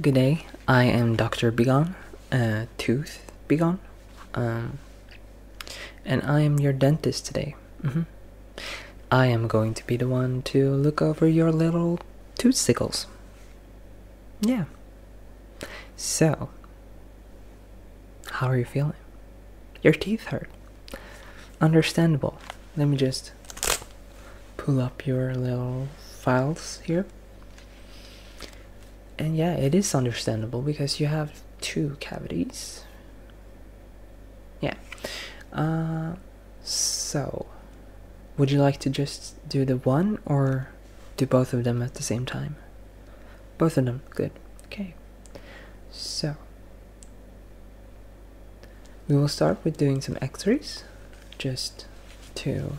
Good day, I am Dr. Begon, uh, Tooth Begon, um, and I am your dentist today. Mm-hmm. I am going to be the one to look over your little tooth sickles. Yeah. So, how are you feeling? Your teeth hurt. Understandable. Let me just pull up your little files here. And yeah, it is understandable because you have two cavities. Yeah. Uh, so, would you like to just do the one or do both of them at the same time? Both of them, good. Okay. So, we will start with doing some x-rays just to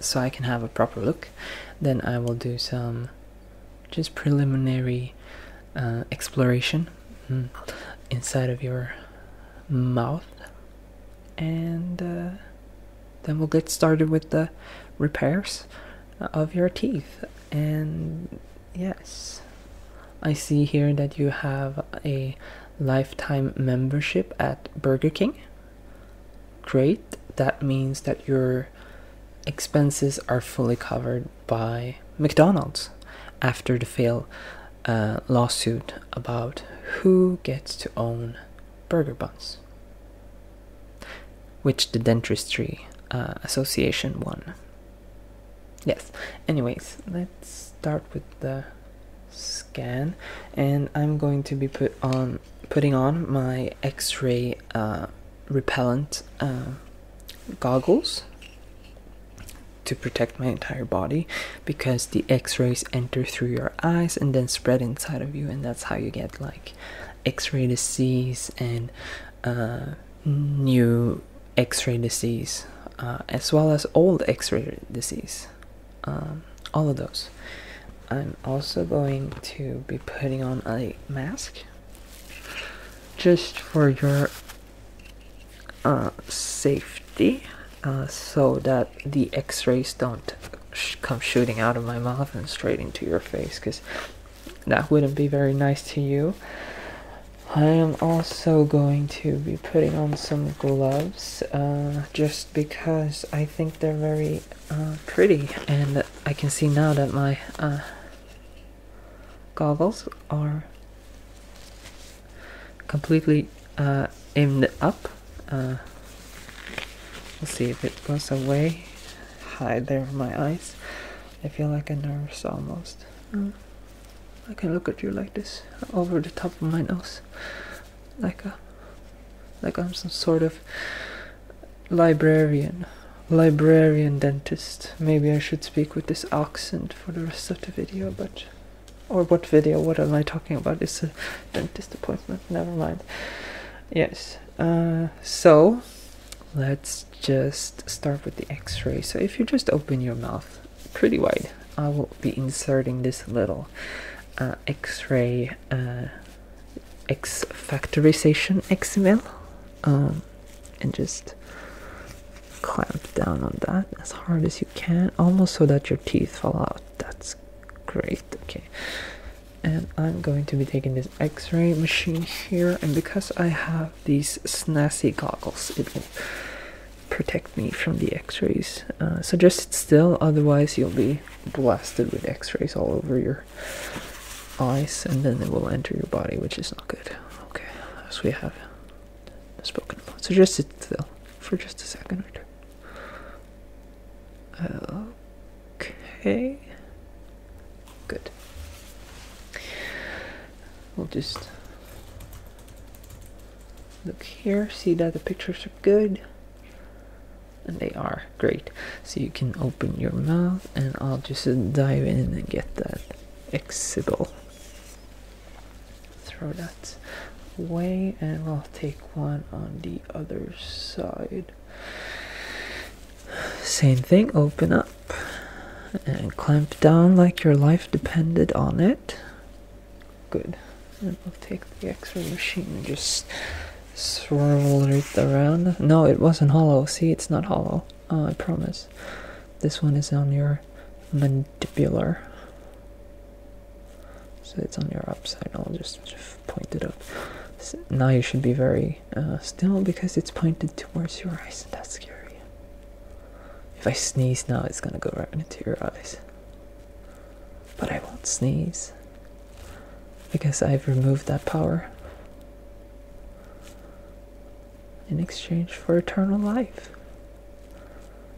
so I can have a proper look. Then I will do some just preliminary uh, exploration mm, inside of your mouth and uh, then we'll get started with the repairs of your teeth and yes I see here that you have a lifetime membership at Burger King. Great, that means that your expenses are fully covered by McDonald's after the failed uh, lawsuit about who gets to own burger buns, which the Dentistry uh, Association won yes anyways let's start with the scan and I'm going to be put on putting on my x-ray uh, repellent uh, goggles to protect my entire body because the x-rays enter through your eyes and then spread inside of you and that's how you get like x-ray disease and uh, new X-ray disease, uh, as well as old X-ray disease, um, all of those. I'm also going to be putting on a mask just for your uh, safety uh, so that the x-rays don't come shooting out of my mouth and straight into your face because that wouldn't be very nice to you I am also going to be putting on some gloves uh, just because I think they're very uh, pretty and I can see now that my uh, goggles are completely aimed up. let's see if it goes away. Hi there, my eyes. I feel like a nurse almost. Oh. I can look at you like this over the top of my nose like a like I'm some sort of librarian librarian dentist maybe I should speak with this accent for the rest of the video but or what video what am I talking about it's a dentist appointment never mind yes uh, so let's just start with the x-ray so if you just open your mouth pretty wide. I will be inserting this little uh, X-ray uh, X factorization XML um, and just clamp down on that as hard as you can, almost so that your teeth fall out. That's great. Okay. And I'm going to be taking this X-ray machine here, and because I have these snazzy goggles, it protect me from the x-rays uh, so just sit still otherwise you'll be blasted with x-rays all over your eyes and then it will enter your body which is not good okay As we have spoken about so just sit still for just a second or two okay good we'll just look here see that the pictures are good and they are great so you can open your mouth and I'll just dive in and get that exhibit throw that way, and we'll take one on the other side same thing open up and clamp down like your life depended on it. Good. i will take the X-ray machine and just swirl it around. No, it wasn't hollow. See, it's not hollow. Oh, I promise. This one is on your mandibular. So it's on your upside. I'll just, point it out. now you should be very uh, still because it's pointed towards your eyes, and that's scary. If I sneeze now, it's gonna go right into your eyes. But I won't sneeze because I've removed that power in exchange for eternal life.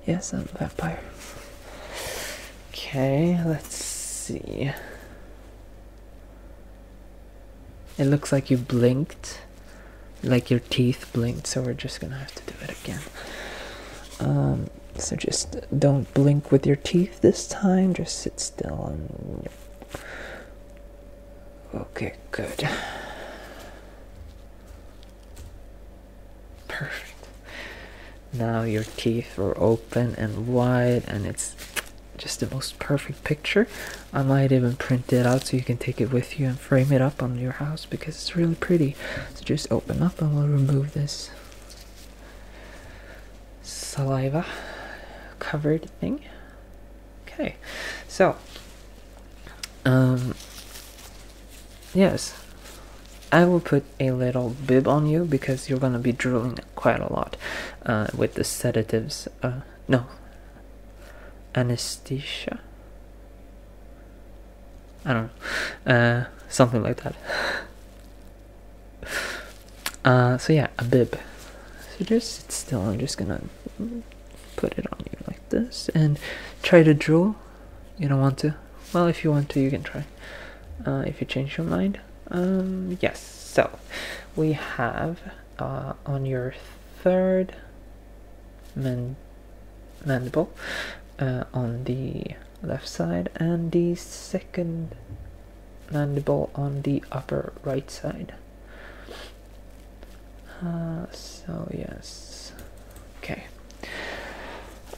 Yes, I'm a vampire. Okay, let's see. It looks like you blinked, like your teeth blinked, so we're just gonna have to do it again. Um, so just don't blink with your teeth this time, just sit still Okay, good. Perfect. Now your teeth are open and wide, and it's just the most perfect picture. I might even print it out so you can take it with you and frame it up on your house because it's really pretty. So just open up and we'll remove this saliva covered thing. Okay, so, um, yes, I will put a little bib on you because you're going to be drooling quite a lot uh, with the sedatives. Uh, no. Anesthesia? I don't know. Uh, something like that. Uh, so yeah, a bib. So just sit still. I'm just gonna put it on you like this and try to draw. You don't want to? Well, if you want to, you can try. Uh, if you change your mind. Um, yes. So we have uh, on your third mandible uh, on the left side and the second mandible on the upper right side. Uh, so yes, okay.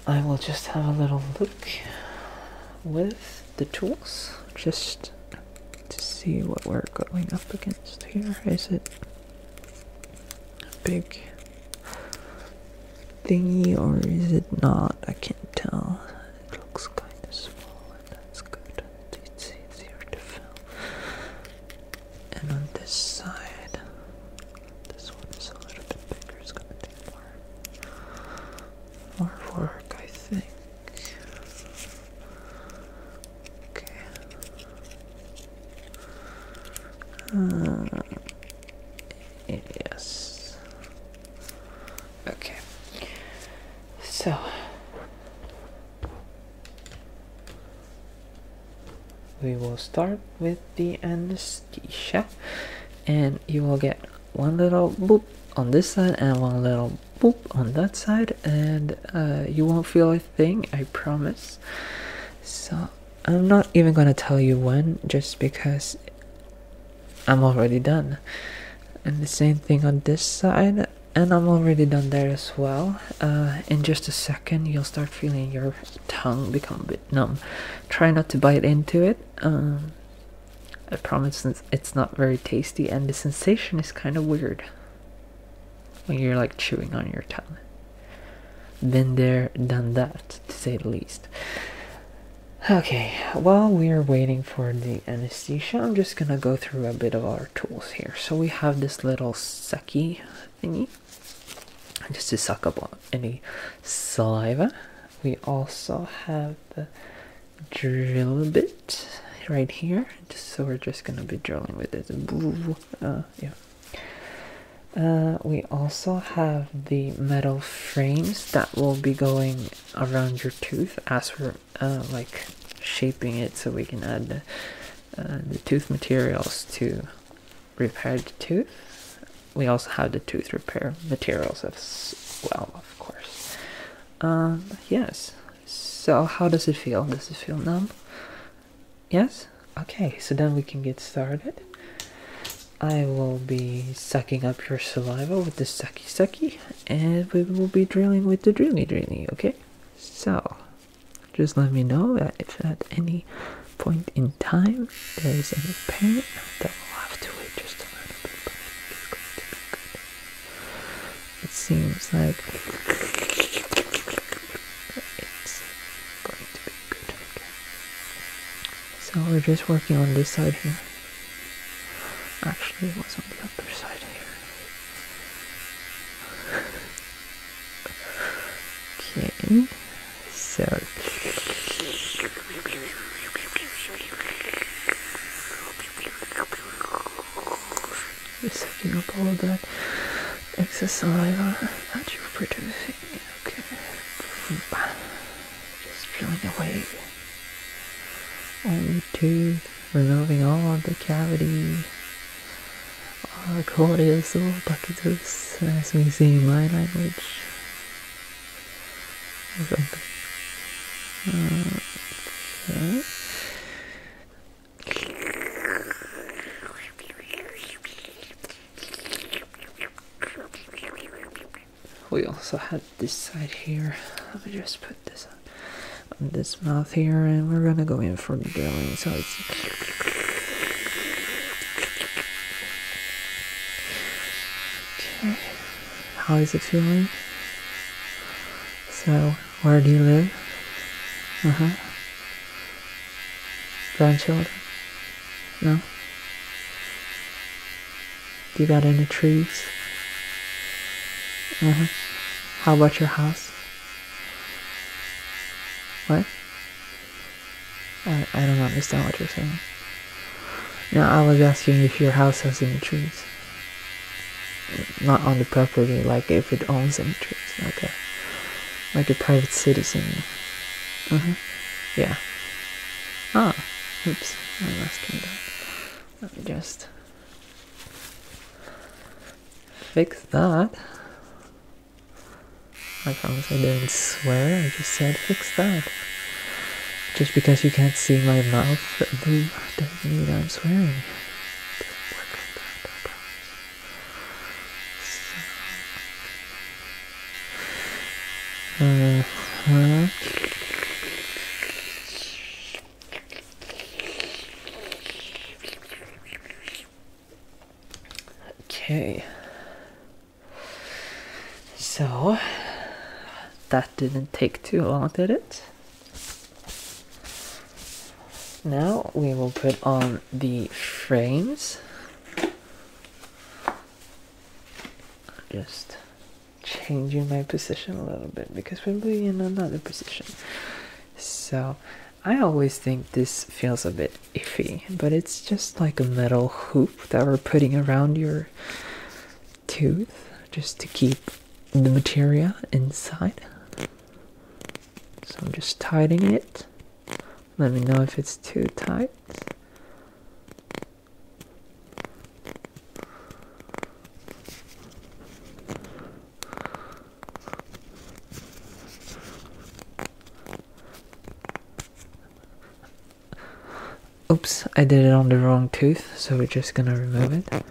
I will just have a little look with the tools, just to see what we're going up against here. Is it a big thingy or is it not? I can't tell. It looks kind of small, and that's good. It's easier to fill. And on this side, this one is a little bit bigger. It's gonna take more work, I think. Okay. Uh, yes. Okay. So. We will start with the anesthesia, and you will get one little boop on this side and one little go on that side and uh, you won't feel a thing i promise so i'm not even gonna tell you when just because i'm already done and the same thing on this side and i'm already done there as well uh, in just a second you'll start feeling your tongue become a bit numb try not to bite into it um, I promise it's not very tasty, and the sensation is kind of weird when you're like chewing on your tongue. Been there, done that, to say the least. Okay, while we're waiting for the anesthesia, I'm just gonna go through a bit of our tools here. So we have this little sucky thingy, just to suck up any saliva. We also have the drill a bit right here. so we're just gonna be drilling with this. Uh, yeah. Uh, we also have the metal frames that will be going around your tooth as for uh, like shaping it so we can add the tooth materials to repair the tooth. We also have the tooth repair materials as well, of course. Uh, yes. So, how does it feel? Does it feel numb? Yes? Okay, so then we can get started. I will be sucking up your saliva with the sucky sucky, and we will be drilling with the drilly drilly, okay? So, just let me know that if at any point in time there is any pain that will have to wait just a little bit, but it seems like it's going to be good. Okay. So we're just working on this side here. Actually, it was on the other side here. okay, so. You're sucking up all that excess saliva that you're producing. Okay. Just drilling away. the tooth, removing all the cavity. All the cordials, all buckets of, as we see in my language. We also had this side here. Let me just put this on, this mouth here, and we're gonna go in for the drilling. So it's. Okay. How is it feeling? So, where do you live? Uh huh. Grandchildren? No? You got any trees? Uh huh. How about your house? What? I, I don't understand what you're saying. Now I was asking if your house has any trees. Not on the property, like if it owns any trees. Okay. Like a private citizen. Uh mm-hmm. huh. Yeah. Ah. Oops. I'm asking that. Let me just fix that. I promise I didn't swear, I just said fix that. Just because you can't see my mouth do not mean I'm swearing. Uh-huh. Okay. So that didn't take too long, did it? Now we will put on the frames. Just changing my position a little bit because we'll be in another position. So I always think this feels a bit iffy, but it's just like a metal hoop that we're putting around your tooth just to keep the material inside. So I'm just tightening it. Let me know if it's too tight. Oops, I did it on the wrong tooth, so we're just gonna remove it.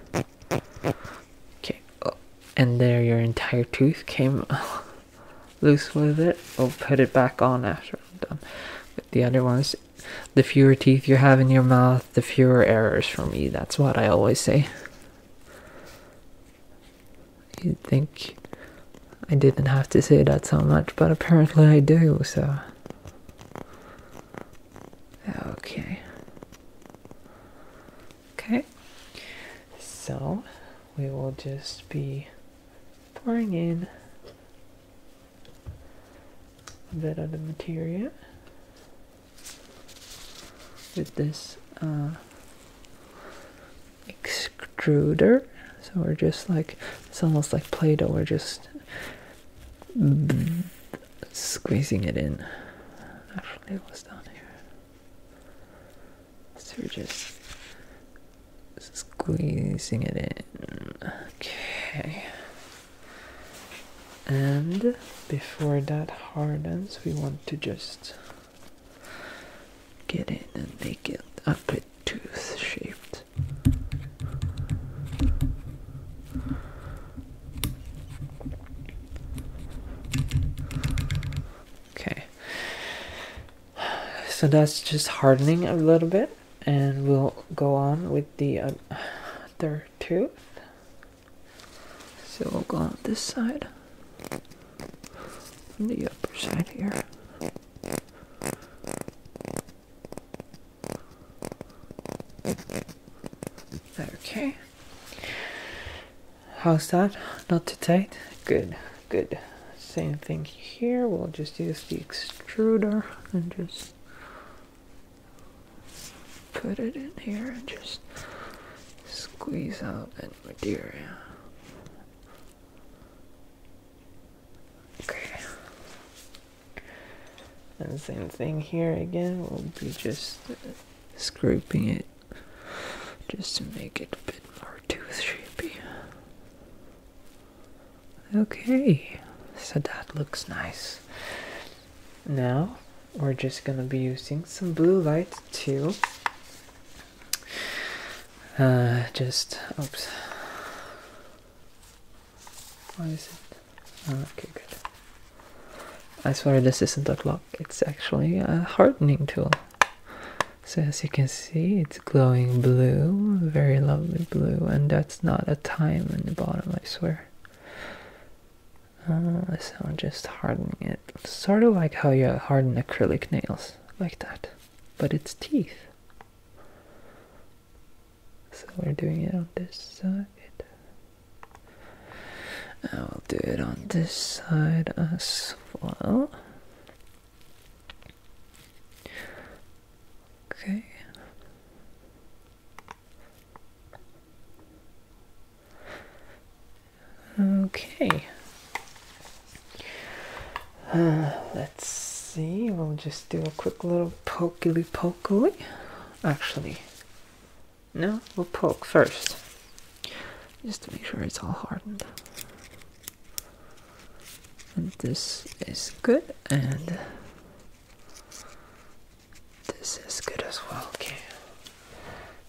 Okay, oh, and there your entire tooth came loose with it. we will put it back on after I'm done with the other ones. The fewer teeth you have in your mouth, the fewer errors for me. That's what I always say. you think I didn't have to say that so much, but apparently I do, so. Okay. Okay. So, we will just be pouring in a bit of the material with this uh, extruder. So we're just like, it's almost like Play Doh, we're just squeezing it in. Actually, down here. So we're just squeezing it in. Okay. And before that hardens, we want to just get in and make it up tooth shaped. Okay, so that's just hardening a little bit, and we'll go on with the other uh, tooth. So we'll go on this side, on the upper side here. Okay. How's that? Not too tight? Good, good. Same thing here. We'll just use the extruder and just put it in here and just squeeze out that material. Okay. And same thing here again, we'll be just scraping it just to make it a bit more tooth shapy. Okay, so that looks nice. Now we're just gonna be using some blue light too uh, just oops why is it oh, okay good I swear this isn't a clock it's actually a hardening tool so as you can see it's glowing blue very lovely blue and that's not a time in the bottom I swear uh, so I'm just hardening it sort of like how you harden acrylic nails like that but it's teeth. So we're doing it on this side. I will do it on this side as well. Okay. Okay. Uh, let's see. We'll just do a quick little poke, pokily pokily. Actually, no, we'll poke first. Just to make sure it's all hardened. And this is good, and this is good as well. Okay.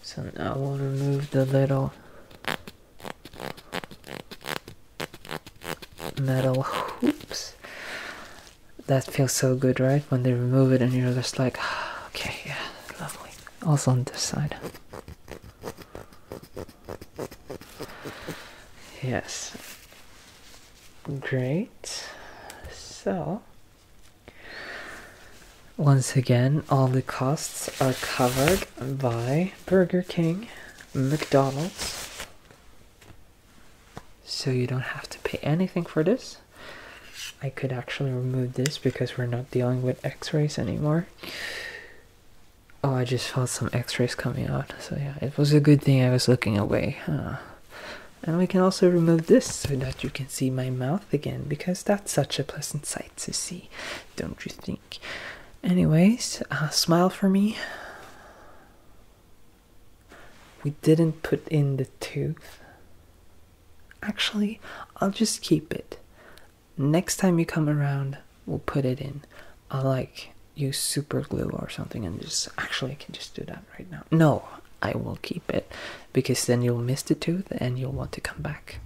So now we'll remove the little metal hoops. That feels so good, right? When they remove it and you're just like, okay, yeah, lovely. Also on this side. Yes. Great. So once again, all the costs are covered by Burger King, McDonald's. So you don't have to pay anything for this. I could actually remove this because we're not dealing with x-rays anymore. Oh, I just felt some x-rays coming out. So yeah, it was a good thing I was looking away. Huh? And we can also remove this so that you can see my mouth again because that's such a pleasant sight to see, don't you think? Anyways, uh, smile for me. We didn't put in the tooth. Actually, I'll just keep it. Next time you come around, we'll put it in. I'll like use super glue or something and just actually I can just do that right now. No, I will keep it because then you'll miss the tooth and you'll want to come back.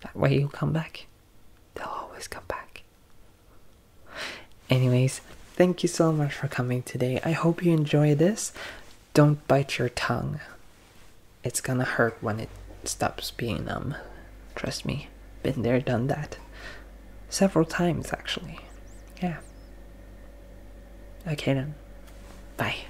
That way you will come back. They'll always come back. Anyways, thank you so much for coming today. I hope you enjoy this. Don't bite your tongue. It's gonna hurt when it stops being numb. Trust me, been there, done that. Several times, actually. Yeah. Okay then. Bye.